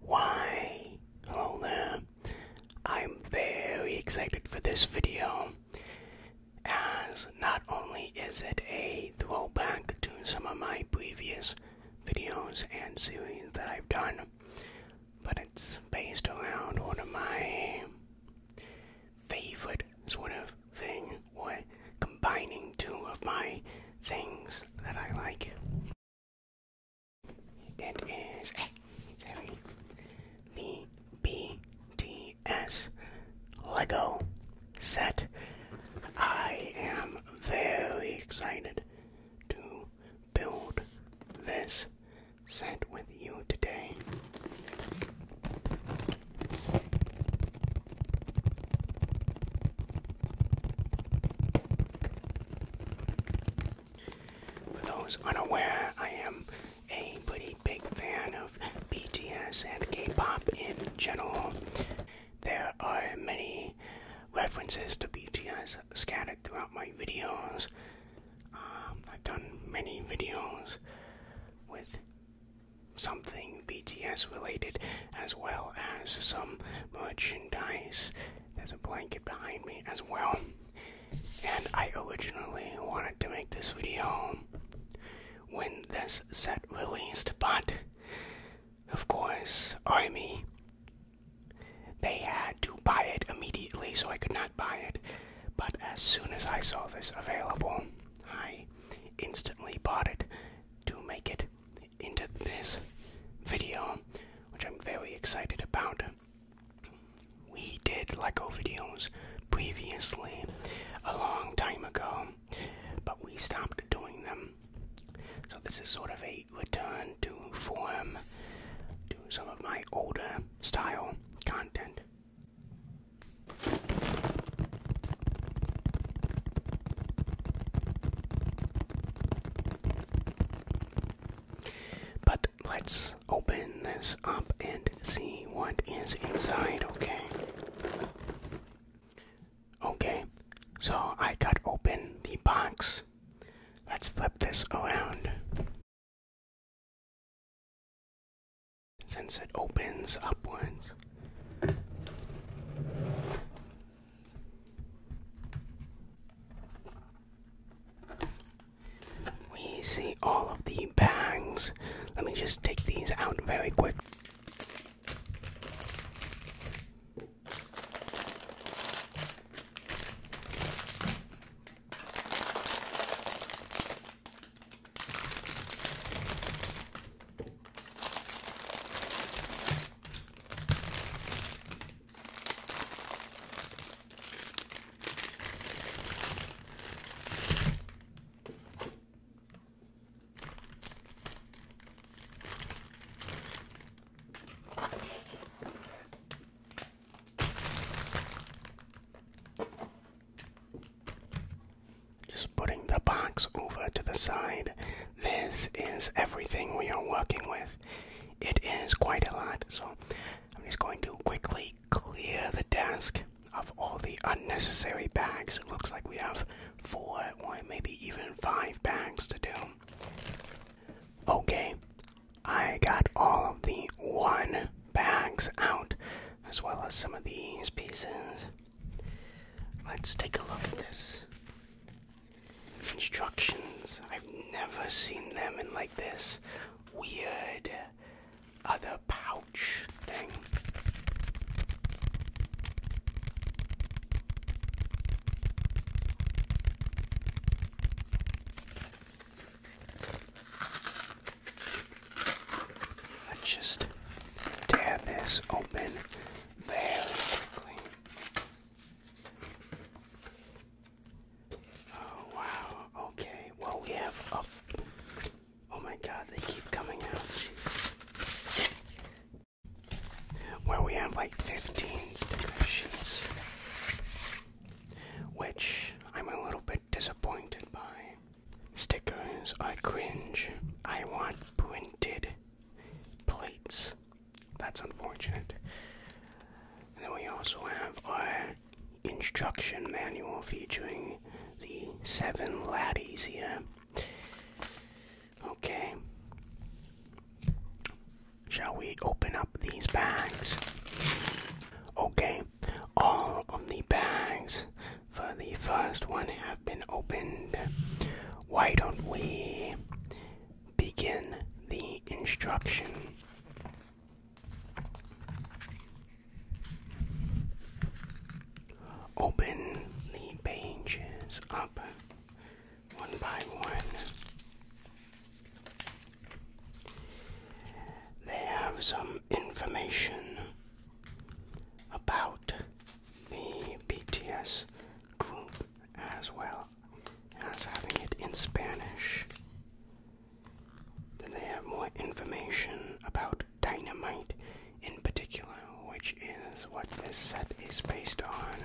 Why, hello there. I'm very excited for this video as not only is it a throwback to some of my previous videos and series that I've done, but it's based around one of my favorite sort of thing or combining two of my things that I like. It is a, the BTS Lego set. I am very excited to build this set with you today. For those unaware, I am a pretty big fan of BTS and K pop in general. There are many references to BTS scattered throughout my videos. Um, I've done many videos with something BTS related as well as some merchandise there's a blanket behind me as well. And I originally wanted to make this video when this set released, but of course, Army, they had to buy it immediately, so I could not buy it. But as soon as I saw this available, I instantly bought it to make it into this video, which I'm very excited about. We did LEGO videos previously a long time ago, but we stopped doing them. So, this is sort of a return to form to some of my older style content. But let's open this up and see what is inside, okay? Okay, so I cut open the box. Let's flip this around. Since it opens upwards, we see all of the bags. Let me just take these out very quick. Just putting the box over to the side. This is everything we are working with it is quite a lot. So I'm just going to quickly clear the desk of all the unnecessary bags. It looks like we have four or maybe even five bags to do. Okay, I got all of the one bags out, as well as some of these pieces. Let's take a look at this. Instructions. I've never seen them in like this weird other pouch thing. Let's just tear this open very quickly. Oh wow, okay. Well we have up oh my god, they keep coming out. Jeez. we have like 15 sticker sheets. Which I'm a little bit disappointed by. Stickers are cringe. I want printed plates. That's unfortunate. And then we also have our instruction manual featuring the seven laddies here. Okay. Shall we open up these bags? Okay, all of the bags for the first one have been opened. Why don't we begin the instruction. Open the pages up one by one. They have some information about the BTS group as well as having it in Spanish. Then they have more information about dynamite in particular, which is what this set is based on.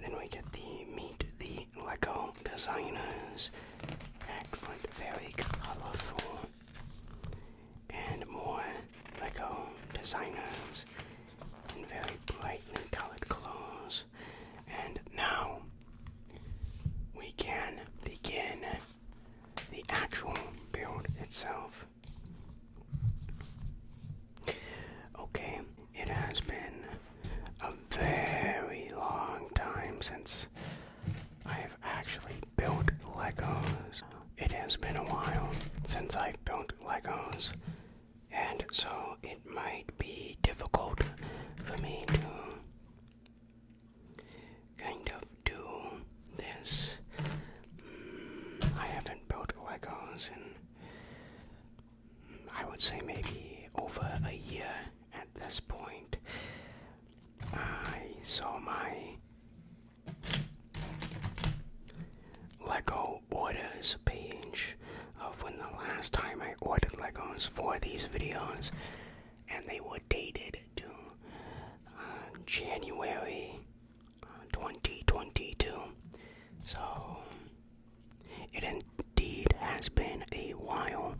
Then we get the meet the Lego designers. Excellent, very colorful. And more Lego designers and very brightly colored clothes. And now we can begin the actual build itself. Okay, it has been a very long time since I have actually built Legos. It has been a while since I've built Legos, and so it might be difficult for me to kind of do this. Mm, I haven't built Legos in, I would say, maybe over a year at this point. I saw my Lego orders page of when the last time I ordered Legos for these videos, and they were dated to uh, January uh, 2022. So it indeed has been a while.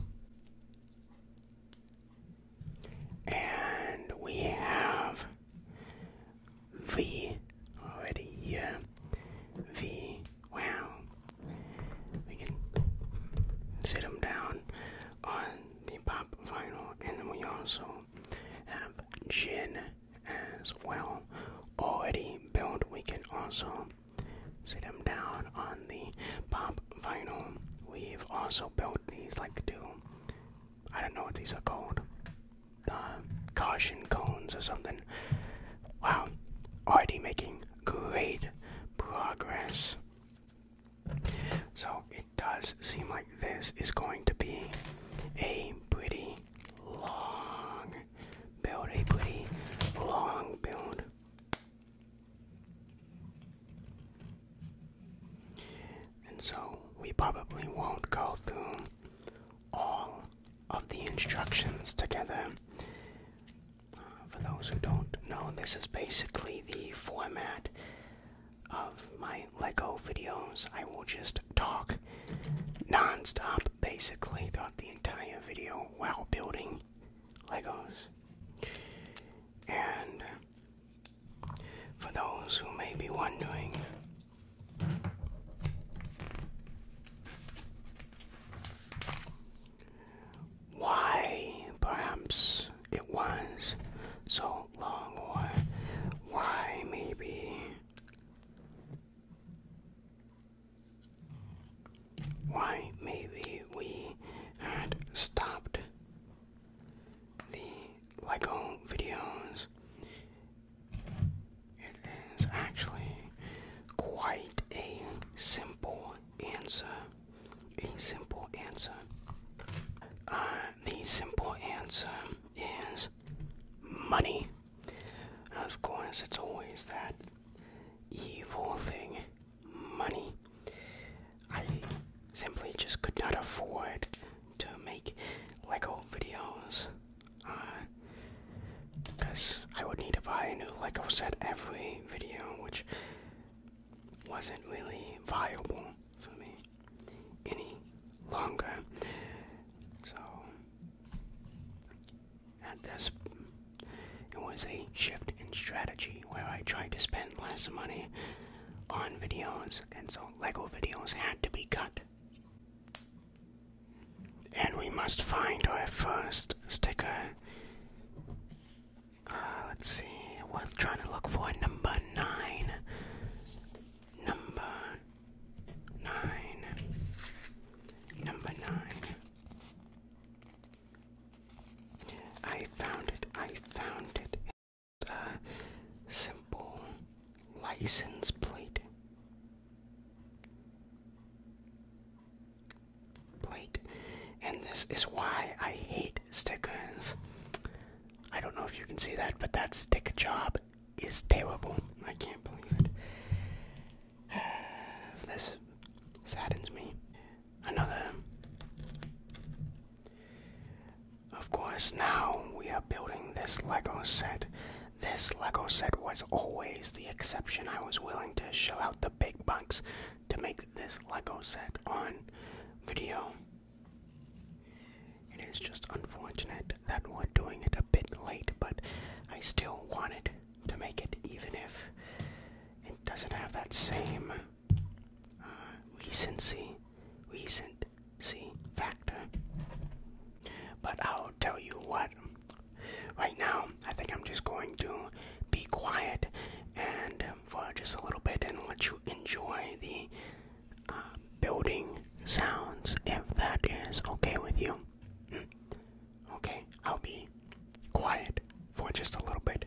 And we have V already here. V. Wow. We can sit them down on the pop vinyl, and we also have gin as well. Already built, we can also sit them down on the pop vinyl. We've also built these like two. I don't know what these are called uh, caution cones or something. Wow, already making great progress. So it does seem like this is going to be a pretty long build, a pretty long build. And so we probably won't go through all of the instructions together. Uh, for those who don't know, this is basically the format of my Lego videos. I will just talk non stop basically throughout the entire video while building Legos. And for those who may be wondering, why perhaps it was so long, or why maybe why maybe we had stopped the LEGO videos it is actually quite a simple answer. A simple answer. Uh, the simple answer is money. Of course, it's always that evil thing money. I simply just could not afford to make Lego videos because I would need to buy a new Lego set every video, which wasn't really viable for me any longer. So, at this, it was a shift in strategy where I tried to spend less money on videos, and so Lego videos had to be cut. And we must find our first sticker. Uh, let's see, we're trying to look for number nine. Number nine. Number nine. I found it. I found it. It's a simple license plate. Blake, and this is why I hate stickers. I don't know if you can see that, but that stick job is terrible. I can't believe it. this saddens me. Another. Of course, now we are building this Lego set this Lego set was always the exception. I was willing to shell out the big bucks to make this Lego set on video. It is just unfortunate that we're doing it a bit late, but I still wanted to make it even if it doesn't have that same uh, recency, recency factor. But I'll tell you what, Right now, I think I'm just going to be quiet and for just a little bit and let you enjoy the uh, building sounds if that is okay with you. Okay, I'll be quiet for just a little bit.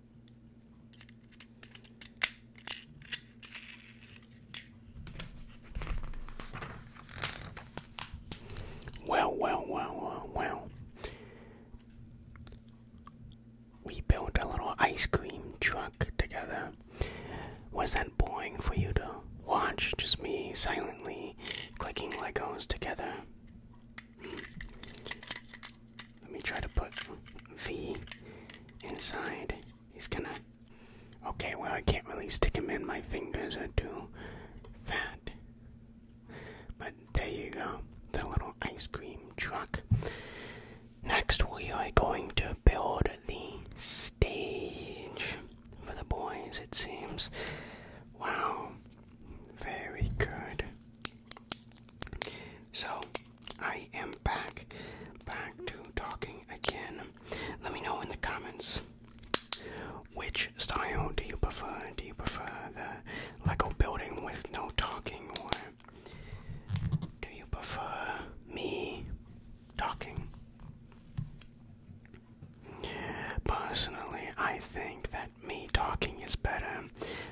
Well, well, well, well, well. We built a little ice cream truck together. Was that boring for you to watch? Just me silently clicking Legos together? Let me try to put V inside. He's gonna. Okay, well, I can't really stick him in. My fingers I do fat. But there you go. The little ice cream truck. Next, we are going to build the stage for the boys, it seems. Wow. Very good. So, I am back, back to talking again. Let me know in the comments which style do you prefer? Do you prefer the Lego building with no talking, or do you prefer me talking? Personally, I think that me talking is better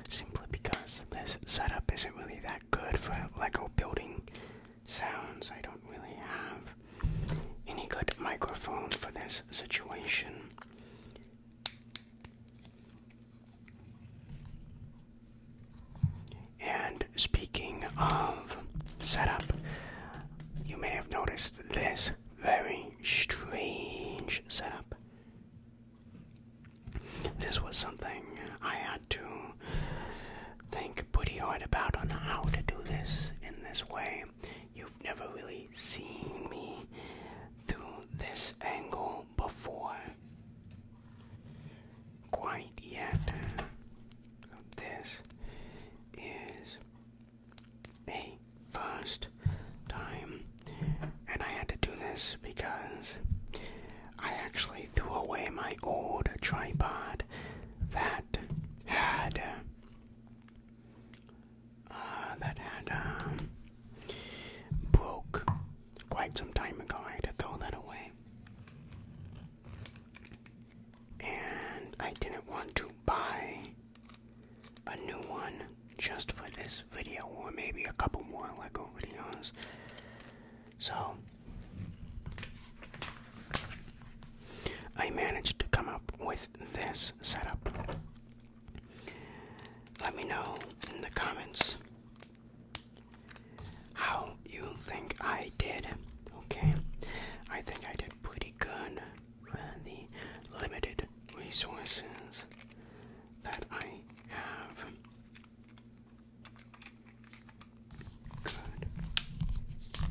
simply because this setup isn't really that good for Lego building sounds. I don't really have any good microphone for this situation. And speaking of setup, you may have noticed this very strange setup. This was something I had to think pretty hard about on how to do this in this way. You've never really seen me through this angle before. Quite yet. This is a first time. And I had to do this because I actually threw away my old tripod that had uh, that had uh, broke quite some time ago. I had to throw that away, and I didn't want to buy a new one just for this video, or maybe a couple more Lego videos. So, I managed to come up with this setup. Let me know in the comments how you think I did. Okay, I think I did pretty good with the limited resources that I have. Good.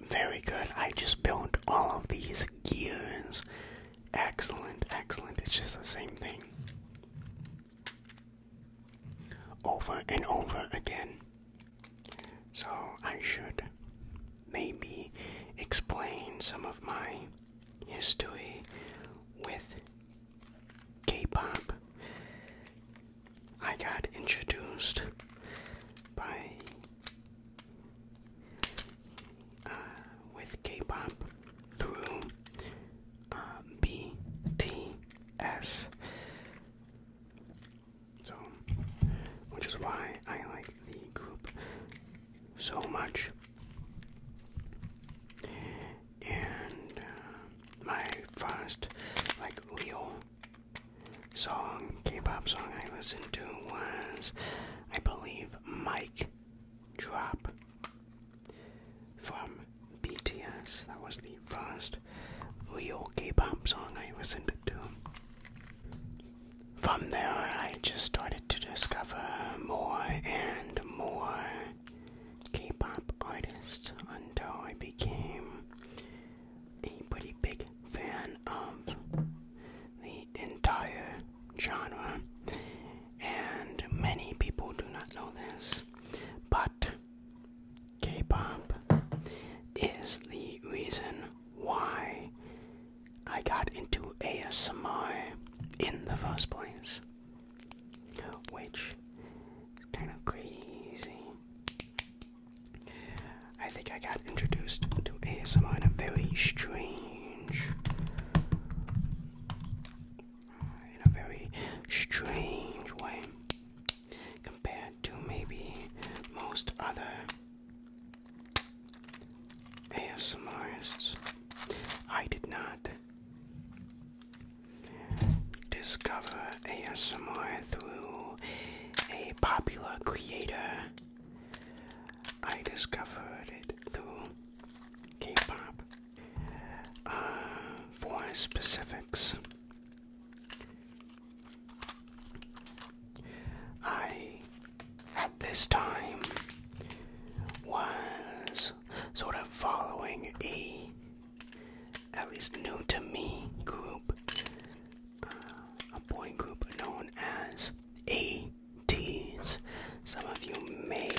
Very good. I just built all of these gears. Excellent, excellent. It's just the same thing. Over and over again. So I should maybe explain some of my history with K pop. I got introduced by uh, with K pop through uh, BTS. So, which is why I like the group so much. And uh, my first, like, real song, K pop song I listened to was, I believe, Mike Drop from BTS. That was the first real K pop song I listened to. From there, I just started to discover more and and more K pop artists until I became a pretty big fan of the entire genre. And many people do not know this, but K pop is the reason why I got into ASMR in the first place, which kind of crazy. I think I got introduced to ASMR in a very strange, in a very strange way compared to maybe most other ASMRists. I did not discover ASMR through a popular creator. I discovered it through K-pop. Uh, for specifics, I at this time was sort of following a at least new to me group uh, a boy group known as ATs. Some of you may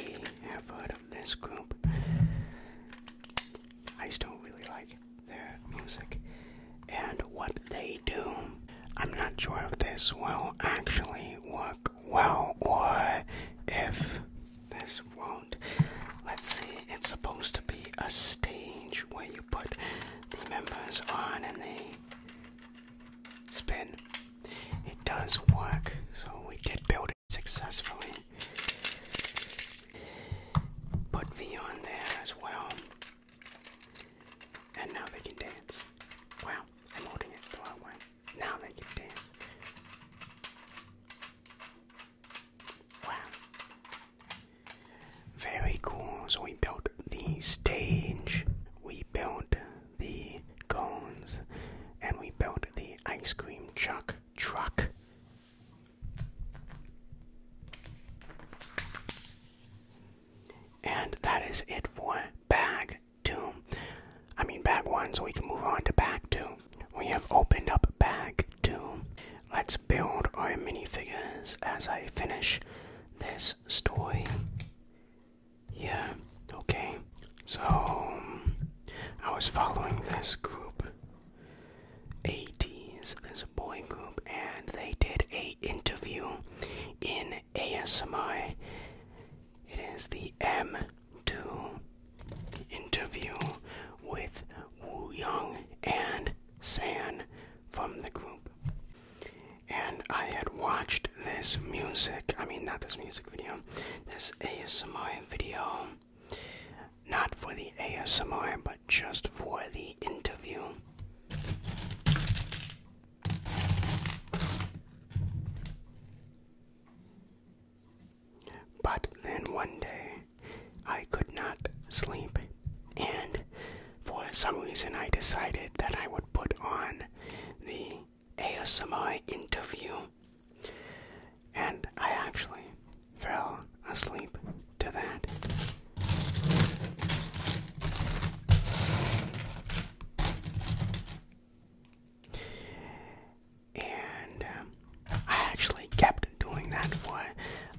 have heard of this group. I just don't really like their music and what they do. I'm not sure if this will actually work well or if this won't. Let's see, it's supposed to be a stage where you put the members on and they spin. It does work, so we did build it successfully. Put V on there as well. And now they can dance. Wow, I'm holding it the wrong way. Now they can dance. Wow. Very cool. So we built the stage, we built the cones, and we built the ice cream chuck truck. And that is it for bag two. I mean bag one, so we can move on to bag two. We have opened up bag two. Let's build our minifigures as I finish this story. Yeah, okay. So, I was following this group, 80s, this boy group, and they did a interview in ASMI. It is the M2 interview with Wu Young and San from the group. And I had watched this music, I mean, not this music video, this ASMI video, not for the ASMI, but just for the interview. But then one day I could not sleep, and for some reason I decided that I would put on the ASMR interview, and I actually fell asleep to that. And um, I actually kept doing that for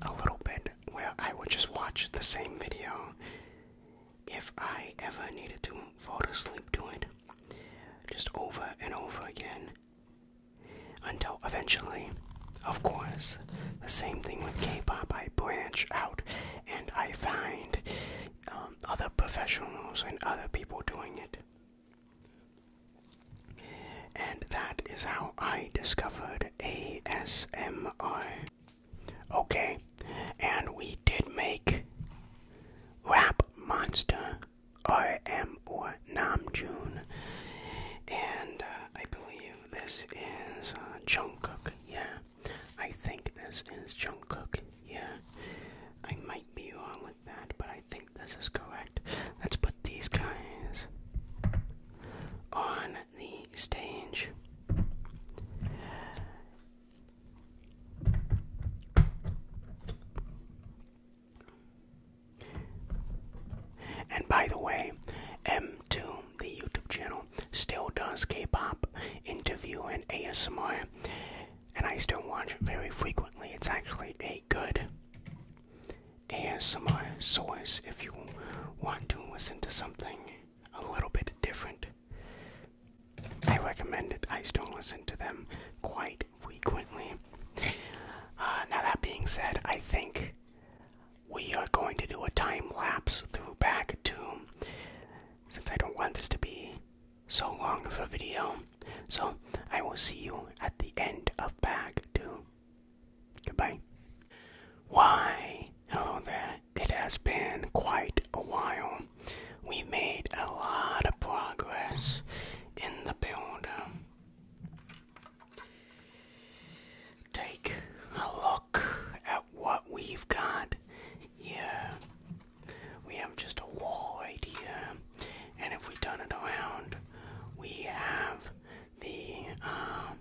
a little bit where I would just watch the same video if I ever needed to fall asleep to it, just over and over again. Until eventually, of course, the same thing with K pop, I branch out and I find, um, other professionals and other people doing it. And that is how I discovered ASMR. Okay, and we did make Rap Monster RM or Namjoon. And uh, I believe this is uh, Jungkook. Yeah, I think this is Jungkook. Yeah, I might be wrong with that, but I think this is correct. Let's put these guys on the stage. And by the way, M2, the YouTube channel, still does K pop interview and ASMR and I still watch it very frequently. It's actually a good ASMR source if you want to listen to something a little bit different. I recommend it. I still listen to them quite frequently. Uh, now, that being said, I think we are going to do a time lapse through back to. Since I don't want this to be so long of a video. So I will see you at the end of bag two. Goodbye. Why, hello there. It has been quite a while. We made a lot of progress in the build. Take a look at what we've got here. We have just a wall right here, and if we turn it around, we have the um,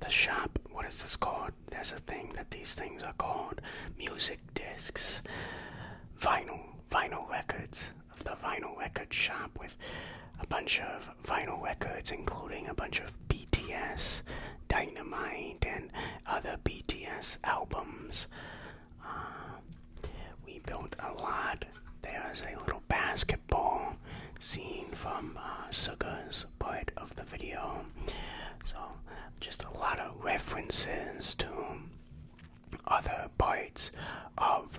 the shop. What is this called? There's a thing that these things are called: music discs, vinyl, vinyl records. The vinyl records shop with a bunch of vinyl records, including a bunch of BTS, Dynamite, and other BTS albums. Um, we built a lot. There's a little basketball scene from uh, Suga's part of the video. So, just a lot of references to other parts of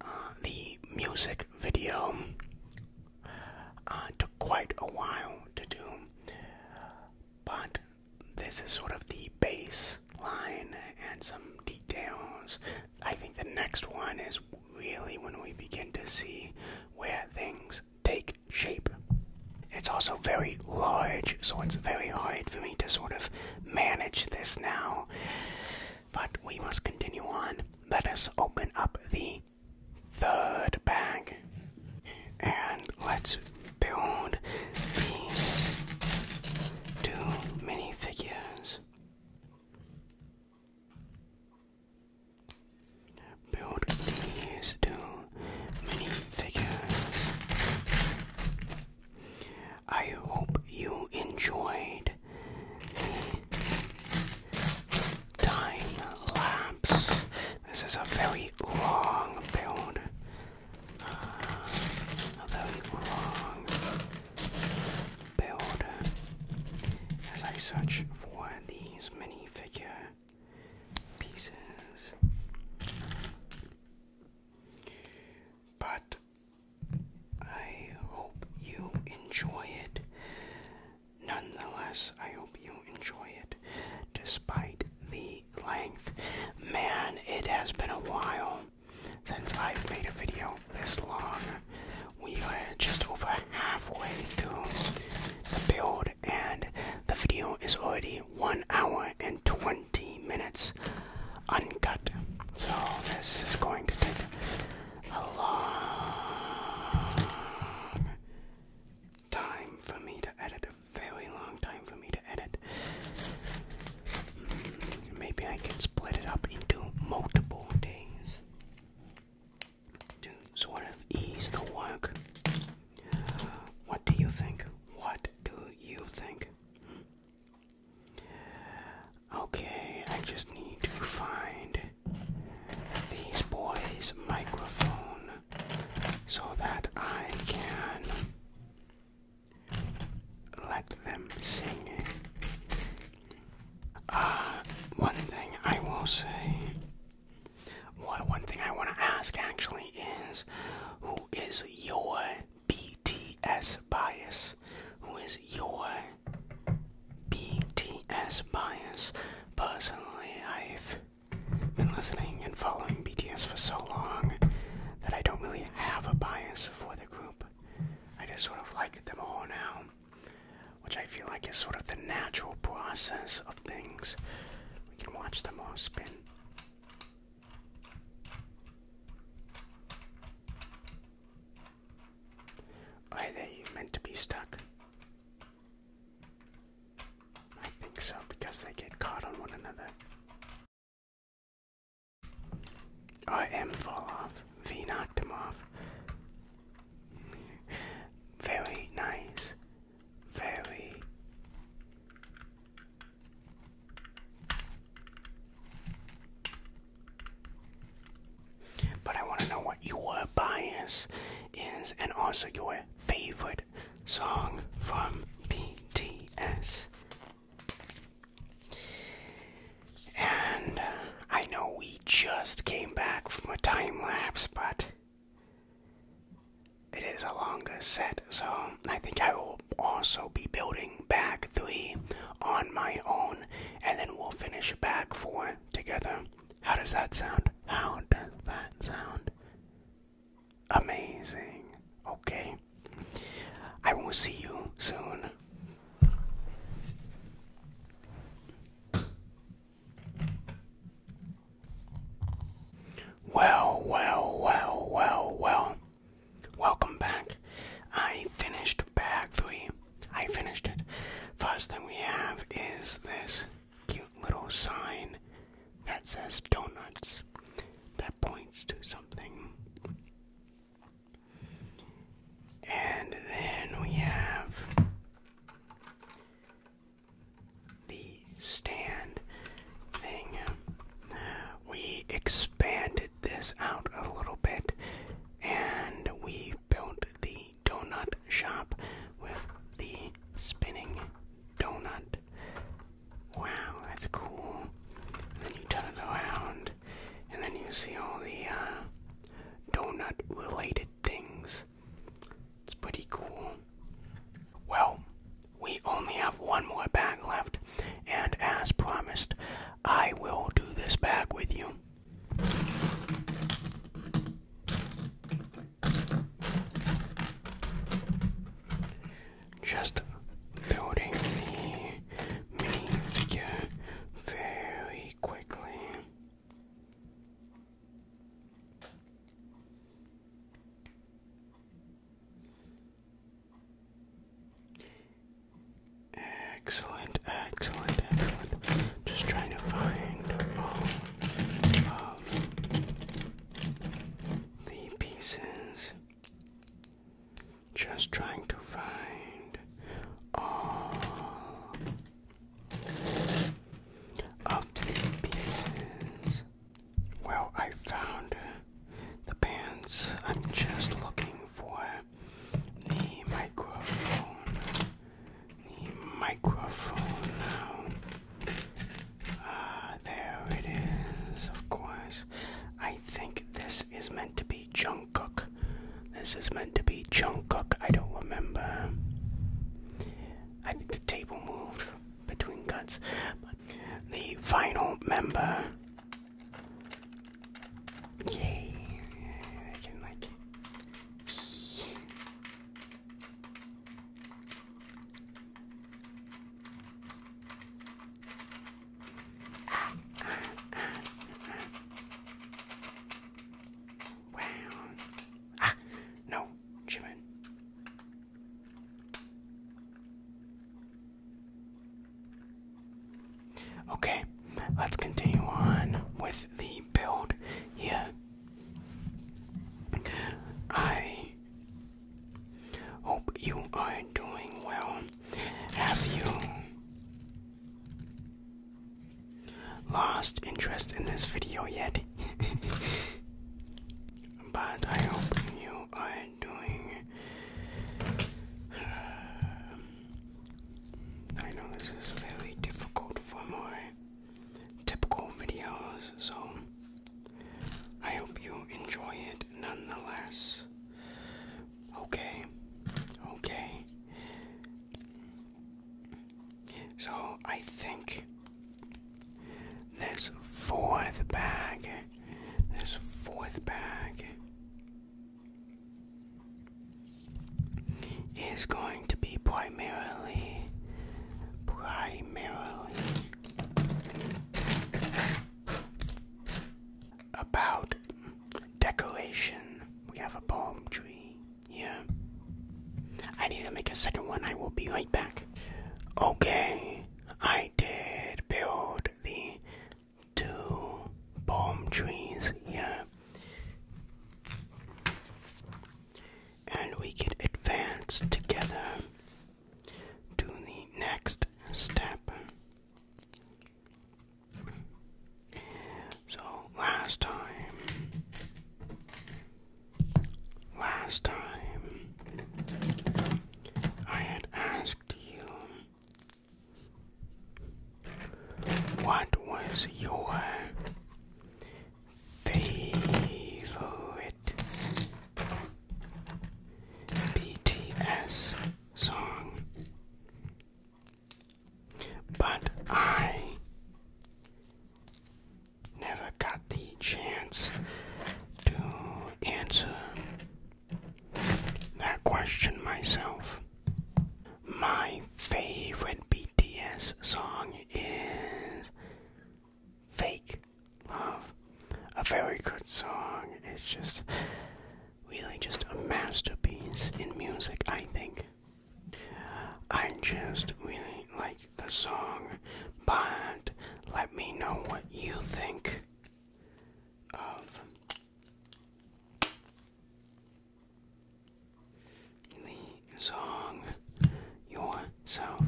uh, the music video. Uh, took quite a while to do, but this is sort of the baseline and some details. I think the next one is really when we begin to see where things take shape. It's also very large, so it's very hard for me to sort of manage this now. But we must continue on. Let us open up the third bag and let's build these two minifigures. Build these two minifigures. I hope you enjoyed the time lapse. This is a very long build. Uh, although build as I search for these minifigure pieces. But I hope you enjoy it. Nonetheless, I hope you enjoy it despite the length. Man, it has been a while since I've made a video this long. We are just over halfway through the build, and the video is already 1 hour and 20 minutes uncut. So, this is going to take a long time for me to edit, a very long time for me to edit. Hmm, maybe I can split it up into multiple days to sort of ease the work. What do you think? What do you think? Okay, I just need to find these boys' microphone so that I can let them sing. Uh, one thing I will say, well, one thing I want to ask actually is, who is your BTS bias? Who is your BTS bias? Personally, I've been listening and following BTS for so long that I don't really have a bias for the group. I just sort of like them all now, which I feel like is sort of the natural process of things. We can watch them all spin. Are they meant to be stuck? I think so, because they get caught on one another. I am Volov, V knocked him off. Very nice. Very But I want to know what your bias is and also your favorite song from BTS. And uh, I know we just came back from a time lapse, but it is a longer set, so I think I will also be building back three on my own, and then we'll finish back four together. How does that sound? How does that sound? amazing. Okay. I will see you soon. Well, well, well, well, well. Welcome back. I finished bag three. I finished it. First thing we have is this cute little sign that says donuts that points to something. And then we have the stand thing. We expanded this out a little bit and we built the donut shop with the spinning donut Wow, that's cool. then you turn it around, and then you see all the uh, donut related things. It's pretty cool. Well, we only have one more bag left, and as promised, I will do this bag with you just building the mini figure very quickly. Excellent, excellent, excellent. Just trying to find all of the pieces. Just trying to find all of the pieces. Well, I found the pants. I'm just looking for the microphone. The microphone now. Uh, there it is, of course. I think this is meant to be Jungkook. This is meant to be Jungkook. I don't remember. I think the table moved between cuts. But the final member. Yay! I can like. Wow. Ah, no, Jimin. Okay, let's continue on with the build here. I Hope you are doing well. Have you lost interest in this video yet? but I hope you are doing. I know this is very difficult for my typical videos, so I hope you enjoy it nonetheless. Okay, okay. So I think this fourth bag, this fourth bag is going to be primarily, primarily about decoration, we have a palm tree here. I need to make a second one, I will be right back. Okay, I did build the two palm trees here. And we can advance together to the next step. So last time, last time, I had asked you what was your favorite BTS song, but I never got the chance to answer that question myself. My favorite BTS song is Fake love a very good song. It's just really just a masterpiece in music, I think. I just really like the song, but let me know what you think of the song yourself.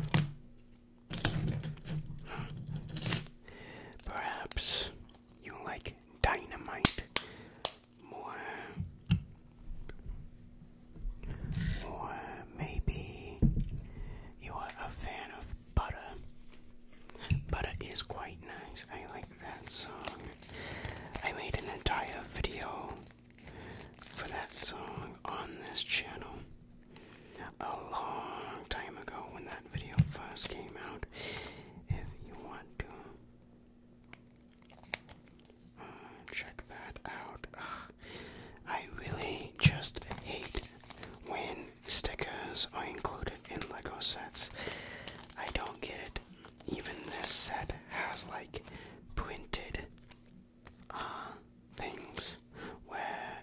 Perhaps you like dynamite more, or maybe you are a fan of butter. Butter is quite nice. I like that song. I made an entire video for that song on this channel a long time ago when that video first came out. If you want to uh, check that out, I really just hate when stickers are included in Lego sets. I don't get it. Even this set has like printed uh, things where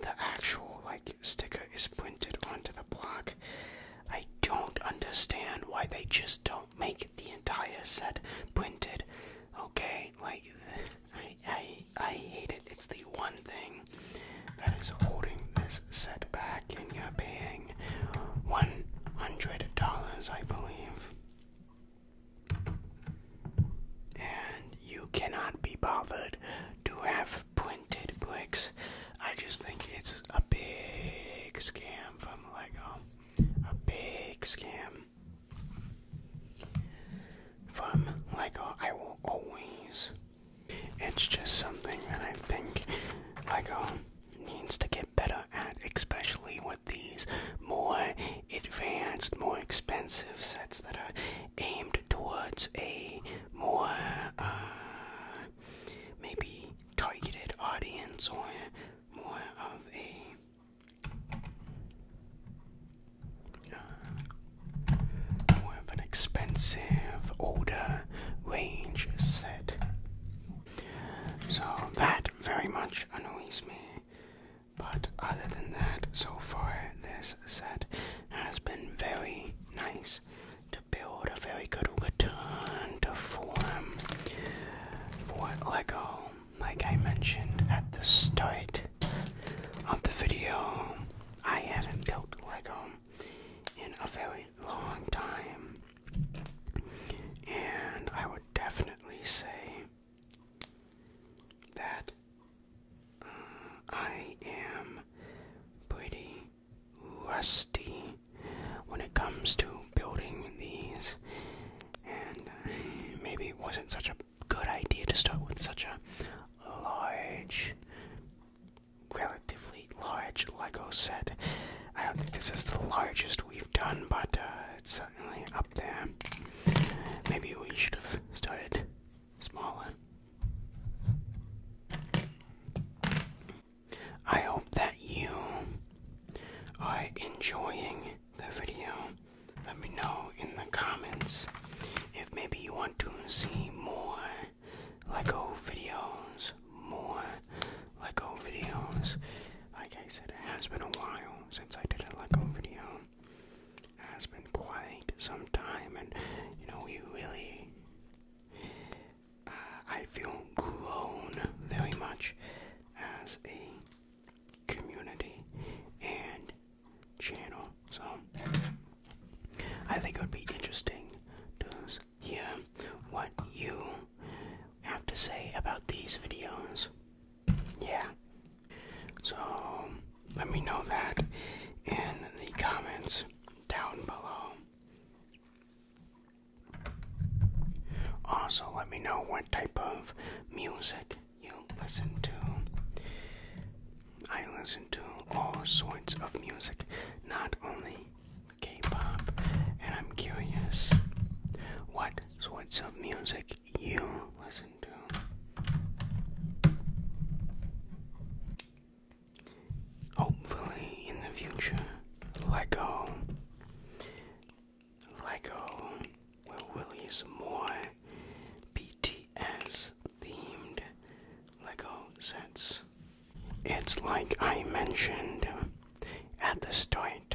the actual like sticker is printed onto the block. I don't understand why they just don't make the entire set printed. Okay, like I I hate it. It's the one thing that is holding this set back, and you're paying one hundred dollars, I believe. And you cannot be bothered to have printed bricks. I just think it's a big scam from Lego. A big scam from Lego. I will always. It's just something that I think Lego needs to get better at, especially with these more advanced, more expensive sets that are aimed towards a more uh, maybe targeted audience or more of a uh, more of an expensive older range set. So that very much annoys me. But other than that, so far this said, has been very nice to build a very good return to form for Lego. Like I mentioned at the start of the video, I haven't built Lego in a very long time, and I would definitely say that uh, I am pretty rusty when it comes to building these, and maybe it wasn't such a good idea to start with such a large, relatively large Lego set. I don't think this is the largest we've done, but uh, it's certainly up there. Maybe we should have started smaller. I hope that you are enjoying the video. Let me know in the comments if maybe you want to see more Lego videos. More Lego videos. Like I said, it has been a while since I did a Lego video has been quite some time, and you know, we really. Uh, I feel grown very much as a community and channel, so I think it would be interesting to hear what you have to say about these videos. Yeah. So let me know that in the comments down below. Also, let me know what type of music you listen to. I listen to all sorts of music, not only K pop, and I'm curious what sorts of music you listen to. Hopefully, in the future, Lego, Lego will release more BTS-themed Lego sets. It's like I mentioned at the start.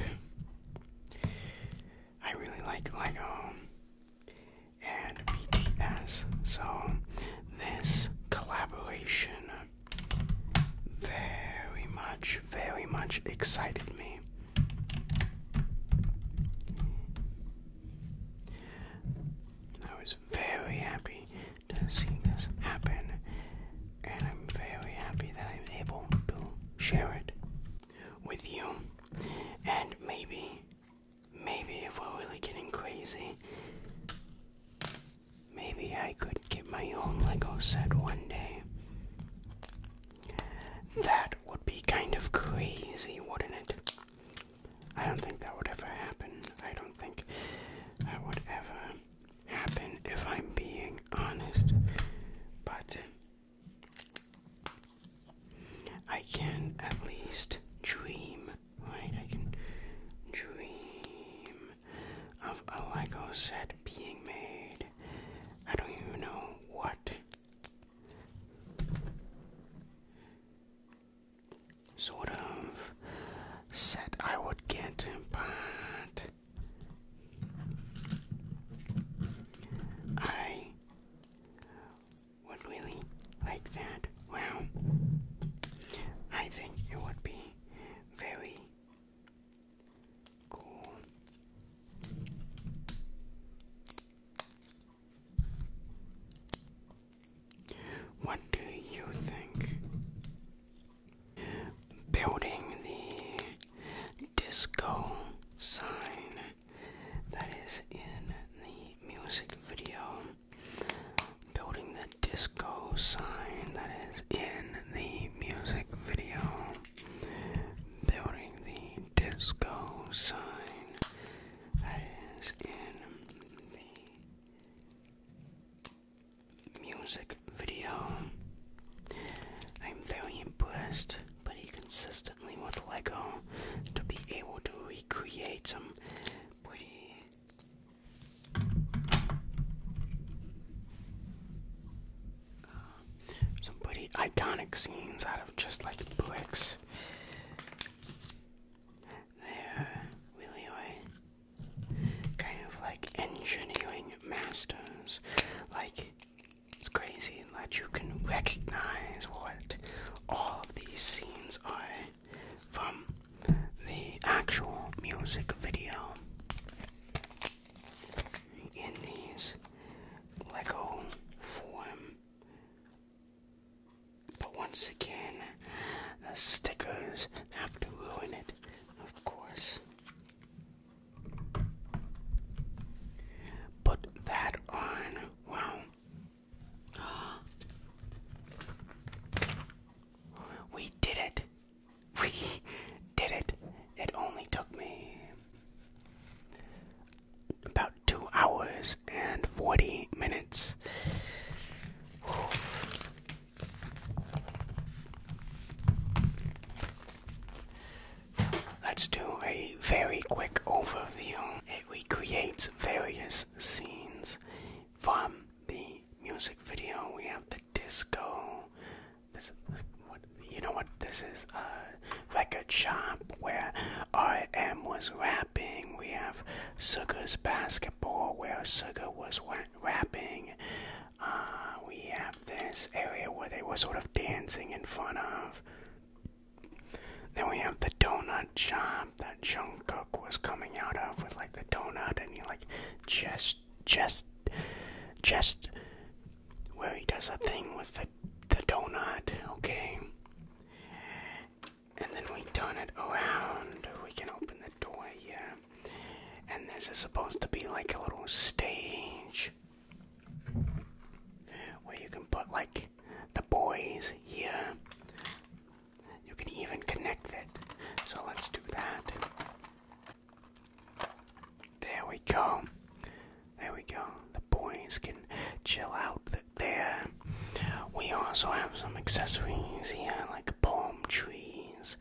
I really like Lego, and BTS. So this collaboration very much, very much excited me. I was very happy to see this happen, and I'm very happy that I'm able to share it with you. And maybe Maybe if we're really getting crazy, maybe I could get my own Lego set one day. That would be kind of crazy, wouldn't it? I don't think that would ever happen. I don't think that would ever happen if I'm being honest. But I can at least dream right? I can dream of a Lego set being made. I don't even know what. Sort of set I would get, but I would really like that. Wow. I think it would be very cool. What do you think? Building the disco sign that is in the music video Building the disco sign that is in the music video. Building the disco sign that is in the music video. I'm very impressed, but he consistently with LEGO to be able to recreate some uh, some pretty iconic scenes out of just like Buicks. They're really are kind of like engineering masters. Like, it's crazy that you can recognize what all of these scenes are from the actual music video in these Lego form. But once again, the stickers have to ruin it, of course. Put that on. Wow. We did it. We did it. It only took me about two hours and 40 minutes. Let's do a very quick overview. It recreates various scenes from the music video, we have the disco. This is what you know what this is a record shop where RM was rapping. We have Sugar's basketball where Sugar was rapping. Uh, we have this area where they were sort of dancing in front of. Then we have the donut shop shop that Jungkook was coming out of with like the donut, and he like just, just, just, where he does a thing with the the donut, okay. And then we turn it around. We can open the door, yeah. And this is supposed to be like a little stage where you can put like the boys here. You can even connect it. So let's do that. There we go. There we go. The boys can chill out there. We also have some accessories here, like palm trees.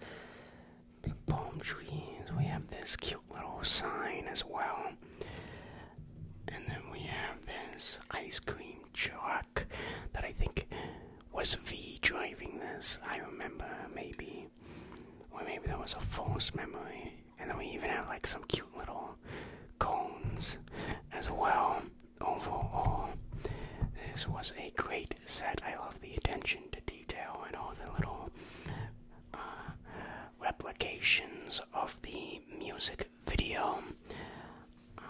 palm trees. We have this cute little sign as well. And then we have this ice cream named that I think was V driving this. I remember maybe, or maybe that was a false memory. And then we even have like some cute little cones as well. Overall, this was a great set. I love the attention to detail and all the little uh, replications of the music video. Uh,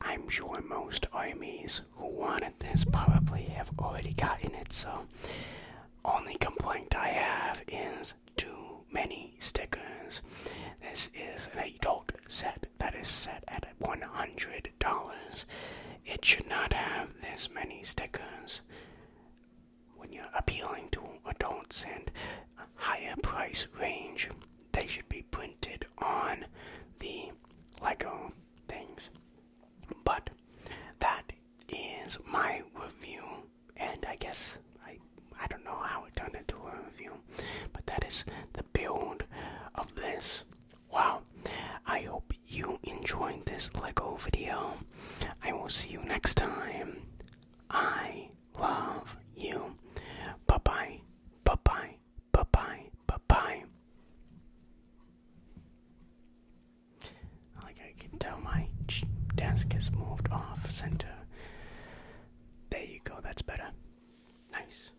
I'm sure most armies who wanted this probably have already gotten it, so only complaint I have is too many stickers. This is an adult set that is set at $100. It should not have this many stickers. When you're appealing to adults and higher price range. They should be printed on the Lego things. But that is my review, and I guess I I don't know how it turned into a review, but that is the build of this. Wow! I hope you enjoyed this Lego video. I will see you next time. I love you. Bye bye. Bye bye bye bye, bye bye. Like I can tell, my desk has moved off center. There you go, that's better. Nice.